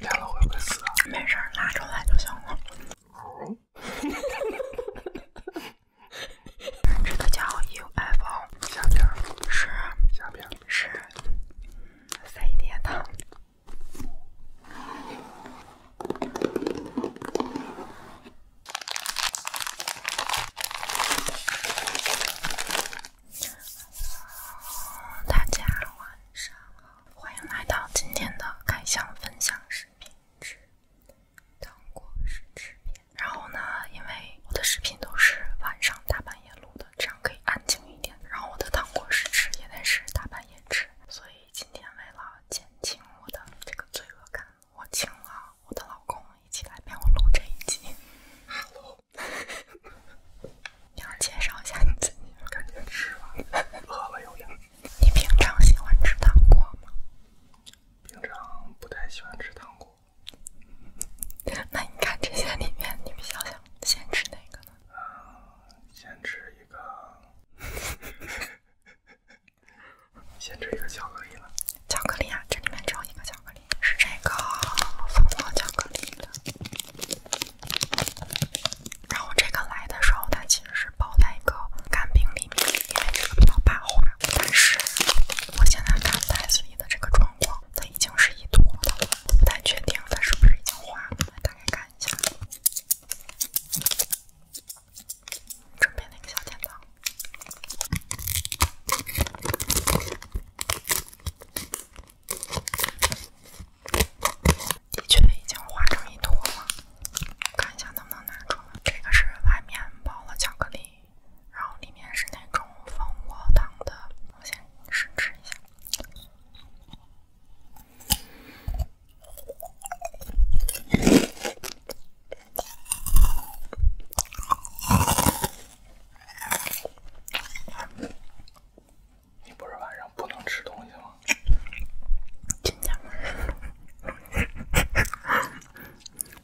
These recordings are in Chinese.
掉了会不会死？啊？没事，拉出来就行了。这个叫 UFO，下边是下边是飞碟的。大家晚上好。欢迎来到今天的开箱分享视频之糖果试吃片。然后呢，因为我的视频都是晚上大半夜录的，这样可以安静一点。然后我的糖果试吃也得是大半夜吃，所以今天为了减轻我的这个罪恶感，我请了我的老公一起来陪我录这一集。哈喽。要介绍一下你自己。赶紧吃吧，喝了有营养。你平常喜欢吃糖果吗？平常不太喜欢吃糖果。那你看这些里面，你们想想，先吃哪个呢？啊，先吃一个。先吃一个巧克力吧。巧克力啊，这里面只有一个巧克力，是这个蜂巢巧克力的。然后这个来的时候，它其实是包在一个干冰里面，因为这个比较怕化。但是我现在看袋子里的这个状况，它已经是一坨了，不太确定它是不是已经化了。来，打开看一下，准备那个小剪刀。的确已经化成一坨了，看一下能不能拿出来。这个是外面包了巧克力，然后里面是那种蜂窝糖的。我先试吃一下。你不是晚上不能吃东西吗？真的吗？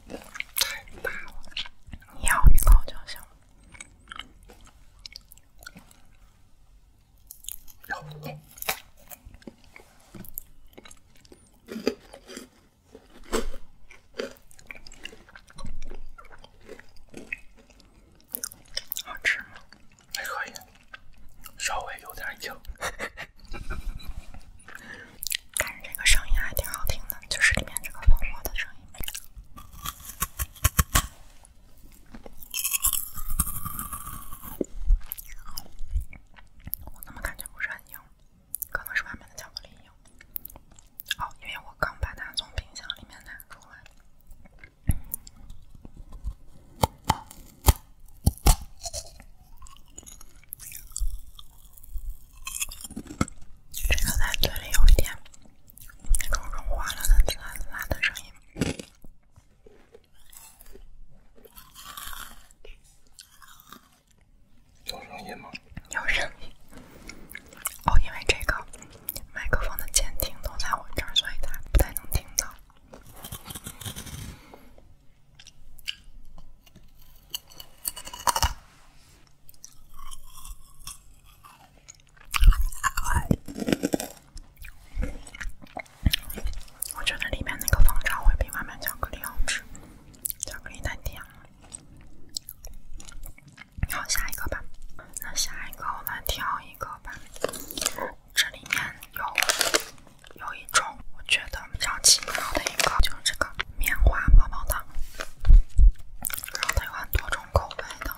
打我！咬一口就想。好吃吗？还可以，稍微有点硬。但是这个声音还挺好听的，就是里面这个粉末的声音。我怎么感觉不是很硬？可能是外面的巧克力硬。哦，因为我刚把它从冰箱里面拿出来，这个在嘴里有一点那种融化了的滋啦滋啦的声音。有声音吗？有声音。哦，因为这个。麦克风的监听都在我这儿，所以他不太能听到。我觉得里面那个方糖会比外面巧克力好吃，巧克力太甜了。好，下一个吧。那下一个我们挑一个吧。这里面有有一种我觉得比较奇妙的一个，就是这个棉花棒棒糖。然后它有很多种口味的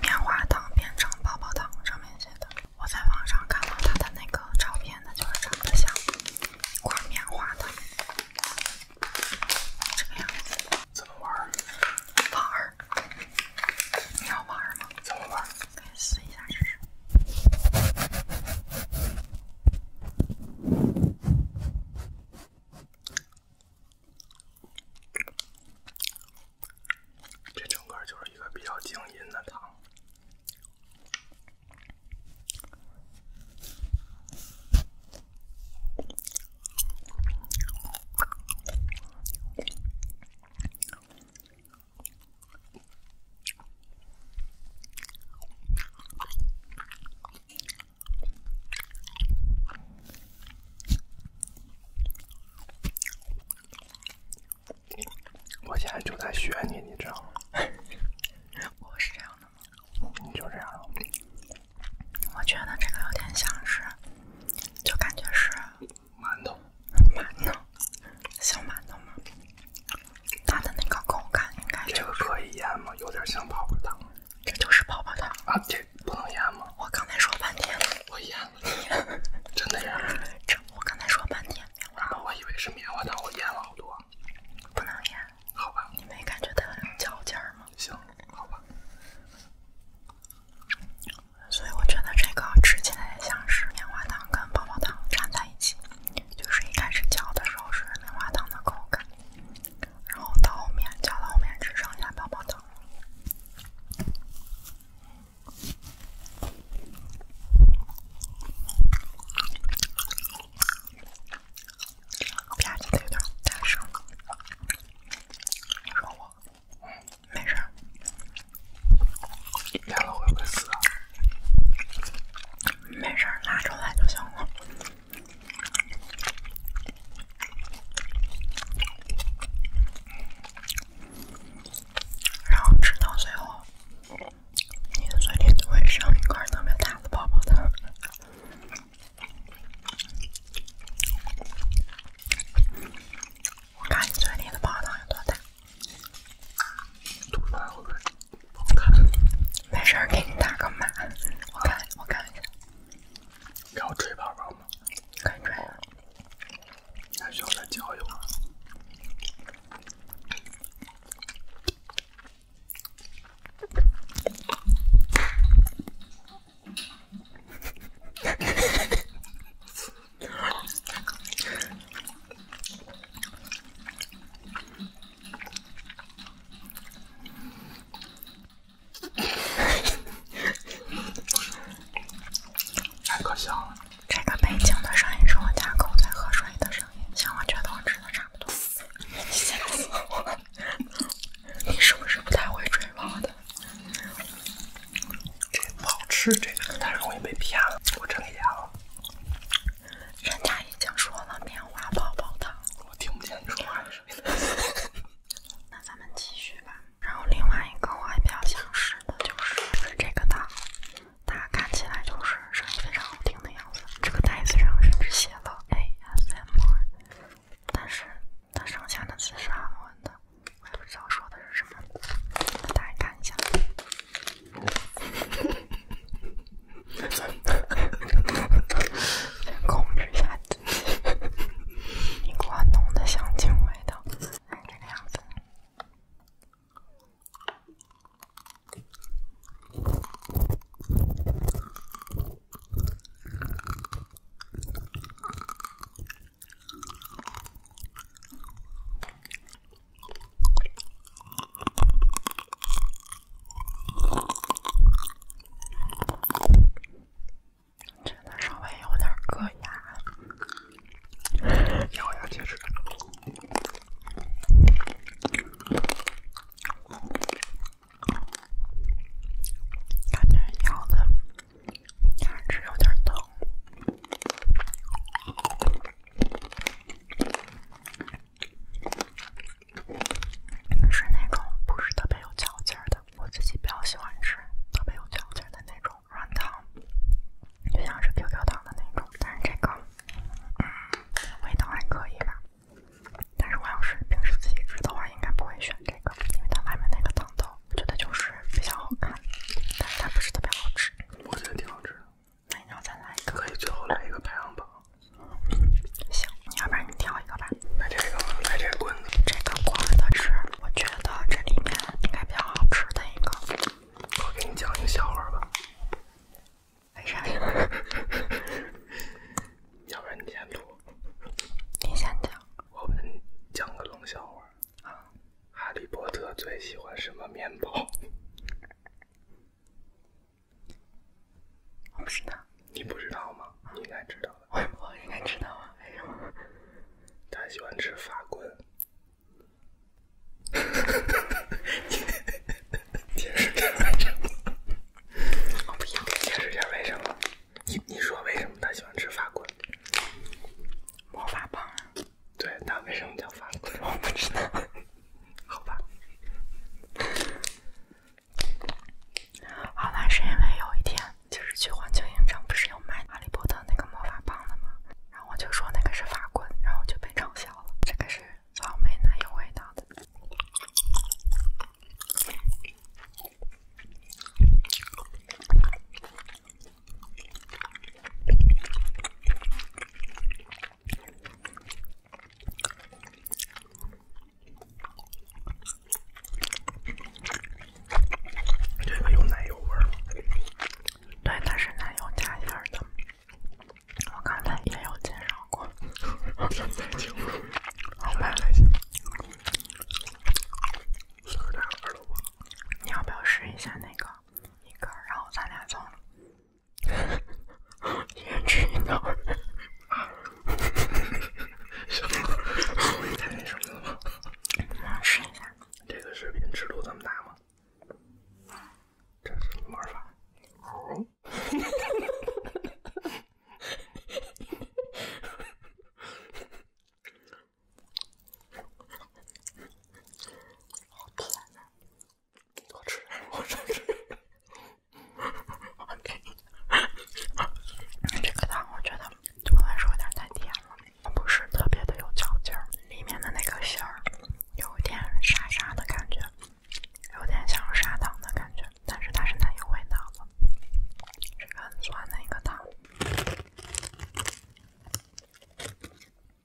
棉花糖变成棒棒糖上面写的。我在网上看到它的那个照片，它就是长得像一块棉花糖，这个样子。怎么玩儿？玩儿，你要玩儿吗？怎么玩儿？来试一下，试试。这整个就是一个比较静音的糖。我现在就在学你，你知道吗？我是这样的吗？你就这样。我觉得这个有点像是，就感觉是馒头，馒头，小馒头吗？它的那个口感应该……这个可以吗？有点像泡泡糖，这就是泡泡糖啊？不能吗？我刚才说半天，我真的 这我刚才说半天，棉花我以为是棉花糖，我咽了好多，不能咽。好吧，你没感觉它有嚼劲吗？行，所以我觉得这个吃起来像是棉花糖跟泡泡糖粘在一起，就是一开始嚼的时候是棉花糖的口感，然后到后面嚼到后面只剩下泡泡糖了。吧唧的有点大声，你说我？没事儿，咽了会不会死？没事儿，拉出来就行了。然后吃到最后，你的嘴里会剩一块特别大的泡泡糖。我看你嘴里的泡泡糖有多大。没事给你打个码。我看，我看一下。要吹泡泡吗？还需要再教一会儿。太可笑了！这个背景的声音是我家狗在喝水的声音。像我觉得我吃的差不多。吓死我！了。你是不是不太会吹泡泡的？这不好吃，这个太容易被骗了。我睁眼啊！人家已经说了棉花泡泡糖。我听不见你说话的声音。那咱们继续吧。然后另外一个我还比较想试的就是这个糖，它看起来就是声音非常好听的样子。这个袋子上甚至写了 ASMR。但是它剩下的字是安稳的，我也不知道说的是什么。大家看一下，控制一下自己，你给我弄得像金味道，看这个样子。这稍微有点硌牙，咬牙切齿。感觉咬的牙齿有点疼，是那种不是特别有嚼劲的。我自己比较喜欢吃特别有嚼劲的那种软糖，就像是 QQ 糖的那种。但是这个味道还可以吧。但是我要是平时自己吃的话，应该不会选这个，因为它外面那个糖豆，我觉得就是非常好看，但是它不是特别好吃。我觉得挺好吃的。那你要再来一个？可以，最后来一个排行榜。行，要不然你挑一个吧。来这个吗？来这棍子。这个棍子是我觉得这里面应该比较好吃的一个。我给你讲一个笑话吧。为啥 要不然你先录，你先讲。我给你讲个冷笑话。啊。哈利波特最喜欢什么面包？我不知道。你不知道吗？你应该知道的。我应该知道啊。为什么？他喜欢吃法棍。哈哈哈哈哈着我不要解释一下为什么？你你说为什么他喜欢吃法棍？魔法棒啊？对，他为什么叫法棍？我不知道。好吧。好吧，是因为有一天，就是去环球影城，不是有卖《哈利波特》那个魔法棒的吗？然后我就说那个是法棍，然后就被嘲笑了。这个是。草莓呢，有味道的。这个有奶油味儿。对，它是奶油加馅儿的。我刚才也有介绍过。你要不要试一下那个一根，然后咱俩吃一太那什么了试一下。这个视频尺度这么大吗？这是魔法。好甜啊！多吃点，我这个这个。这个糖我觉得对我来说有点太甜了，它不是特别的有嚼劲儿，里面的那个馅儿有点沙沙的感觉。有点像砂糖的感觉，但是它是奶油味道的，是个酸的一个糖。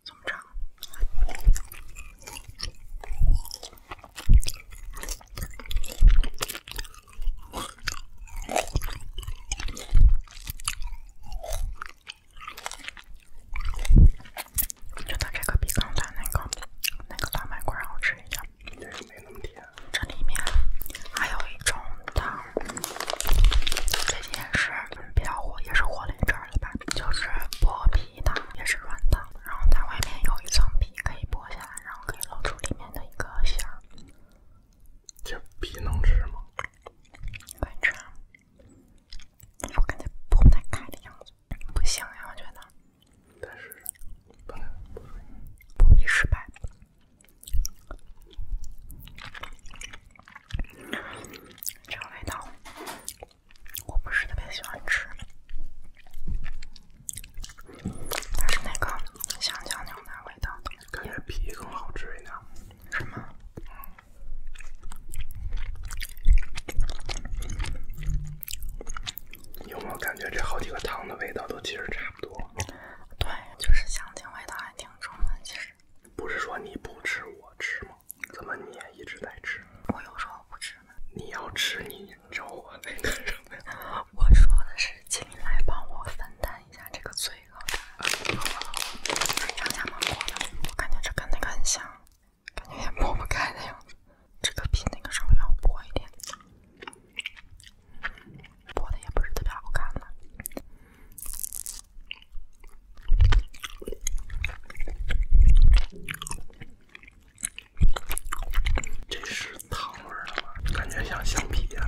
怎么着？我觉得这个比刚才那个那个大麦块然后吃一下，也是没那么甜。这里面还有一种糖，最近也是比较火，也是火了一阵了吧，就是剥皮糖，也是软糖，然后它外面有一层皮可以剥下来，然后可以露出里面的一个馅儿。这皮能吃吗？可以吃，我感觉剥不太开的样子。不行呀，我觉得。但是试，不能，不会失败。这个味道，我不是特别喜欢吃。还是那个香蕉牛奶味道的，感觉皮更好吃一点，是吗？有没有感觉这好几个汤的味道都其实差不多？对，就是香精味道还挺重的，其实。不是说你不吃我吃吗？怎么你也一直在吃？我有说我不吃吗？你要吃你找我那干什么？我说的是请你来帮我分担一下这个罪恶感。杨家门锅的，我感觉这跟那个很像。感觉也剥不开的样子，这个比那个稍微要薄一点，剥的也不是特别好看呢。这是糖味的吗？感觉像橡皮呀。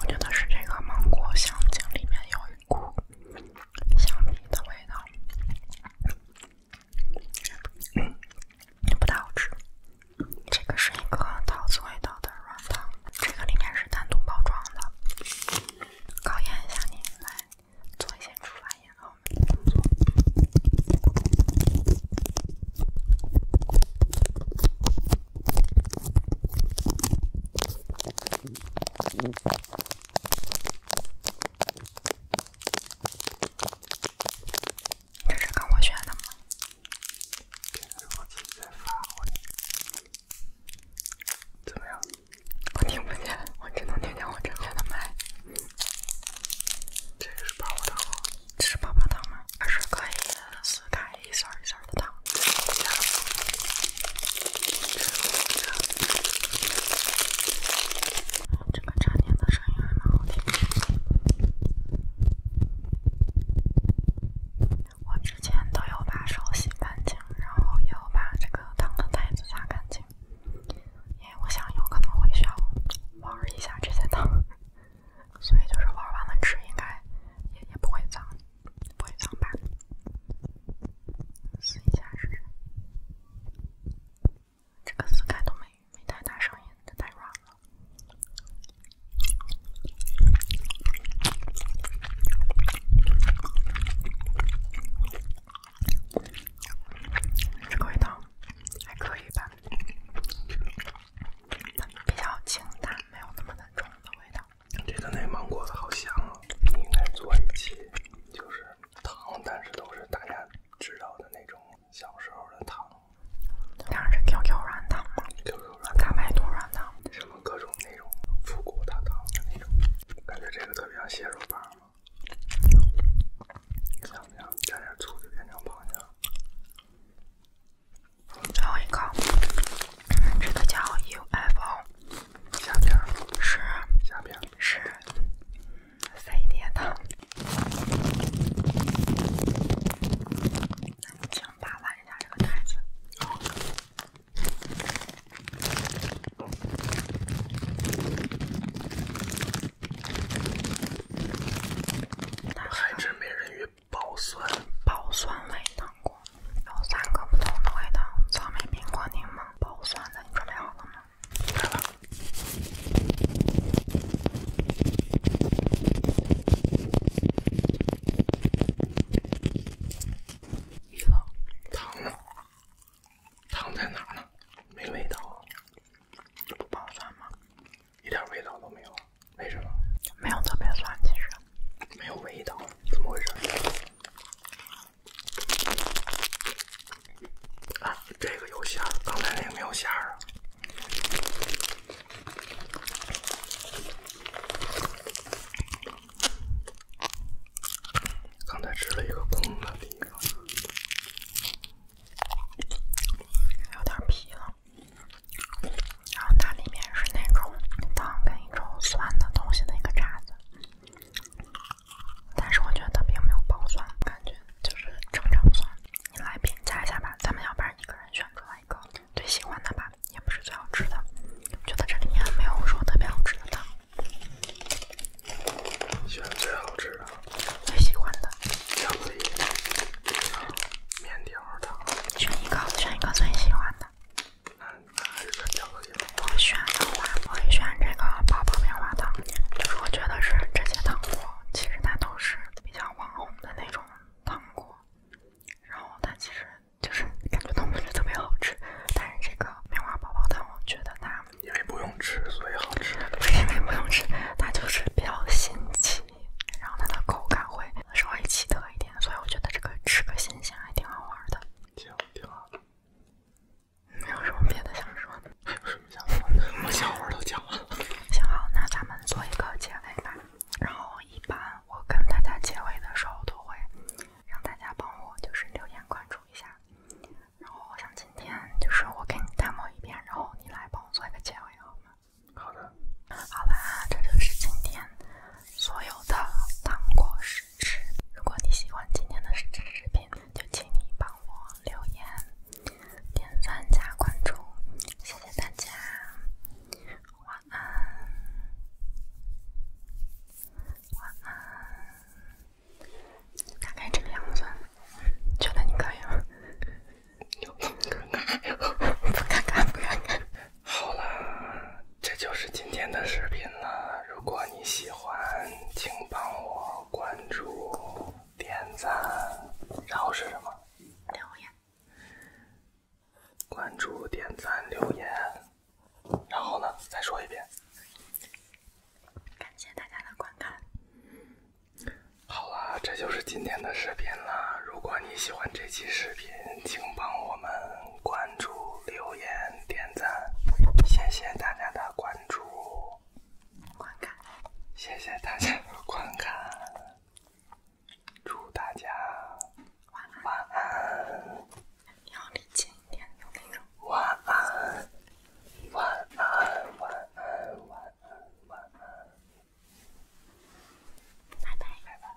我觉得是这个芒果香精里面有。菇，橡皮的味道，不太好吃。这个是一个桃子味道的软糖，这个里面是单独包装的。考验一下你，来做一些厨房里的工作。这是跟我学的吗？怎么样？我听不见，我只能听见我的麦。这是棒棒糖吗？是可以撕开一一的糖。这个粘点的声音还蛮好听。的。我之前都有把手洗干净，然后也有把这个糖的袋子擦干净，因为我想有可能会需要玩一下这些糖，所以就是玩完了吃应该也也不会脏，不会脏吧。撕一下试试，这个撕开都没没太大声音，它太软了。这个味道还可以吧，比较清淡，没有那么的重的味道。这个内芒果的好香啊！你应该做一期，就是糖，但是都是大家知道的那种小时候的糖，当然是 QQ 软糖吗 q q 软糖、麦多软糖，什么各种那种复古糖的那种，感觉这个特别像蟹肉棒。怎不样？加点醋就变成螃蟹了。最后一口，这个叫 UFO。下边是下边是三 D 糖，请扒拉一下这个袋子。海之美人鱼爆酸爆酸味糖果。有三个不同的味道：草莓、苹果、柠檬，包酸的。你准备好了吗？来了。一楼，糖呢？糖在哪呢？没味道这不酸吗？一点味道都没有。为什么？没有特别酸，其实。没有味道，怎么回事？啊，这个有馅儿，刚才那个没有馅儿啊。刚才吃了一个空的地方，有点皮了。然后它里面是那种糖跟一种酸的东西的一个渣子。但是我觉得它并没有爆酸，感觉就是正常酸。你来评价一下吧，咱们要不然一个人选出来一个最喜欢的吧，也不是最好吃的，觉得这里面没有说特别好吃的。选最好吃的，最喜欢的，巧克力的，面条的，选一个，选一个最喜欢的。我选的话，我会选这个泡泡棉花糖。就是我觉得是这些糖果，其实它都是比较网红的那种糖果，然后它其实就是感觉都不是特别好吃。但是这个棉花宝宝糖，我觉得它因为不用吃，所以好吃。不是 因为不用吃，它就是比较新奇，然后它的口感会稍微奇特一点，所以我觉得这个吃个新鲜还挺好玩的。行。挺好的，没有什么别的想说的？还有什么想说的？我想我都讲了。行好，那咱们做一个结尾吧。然后一般我跟大家结尾的时候，都会让大家帮我就是留言关注一下。然后我想今天就是我给你 d e 一遍，然后你来帮我做一个结尾，好吗？好的。好啦，这就是今天所有的糖果事。是，如果你喜欢今天的时事视频，就请你帮我留言、点赞、加关注，谢谢大家，晚安，晚安。大概这个样子，觉得你可以吗？不尴尬，不尴尬，不尴尬，好了。这就是今天的视频了。如果你喜欢，请帮我关注、点赞，然后是什么？留言。关注、点赞、留言。然后呢？再说一遍。感谢大家的观看。好啦，这就是今天的视频了。如果你喜欢这期视频，请帮我们。关注、留言、点赞，谢谢大家的关注，观看，谢谢大家观看，祝大家晚安，晚安，晚安，晚安，晚安，晚安，拜拜，拜拜。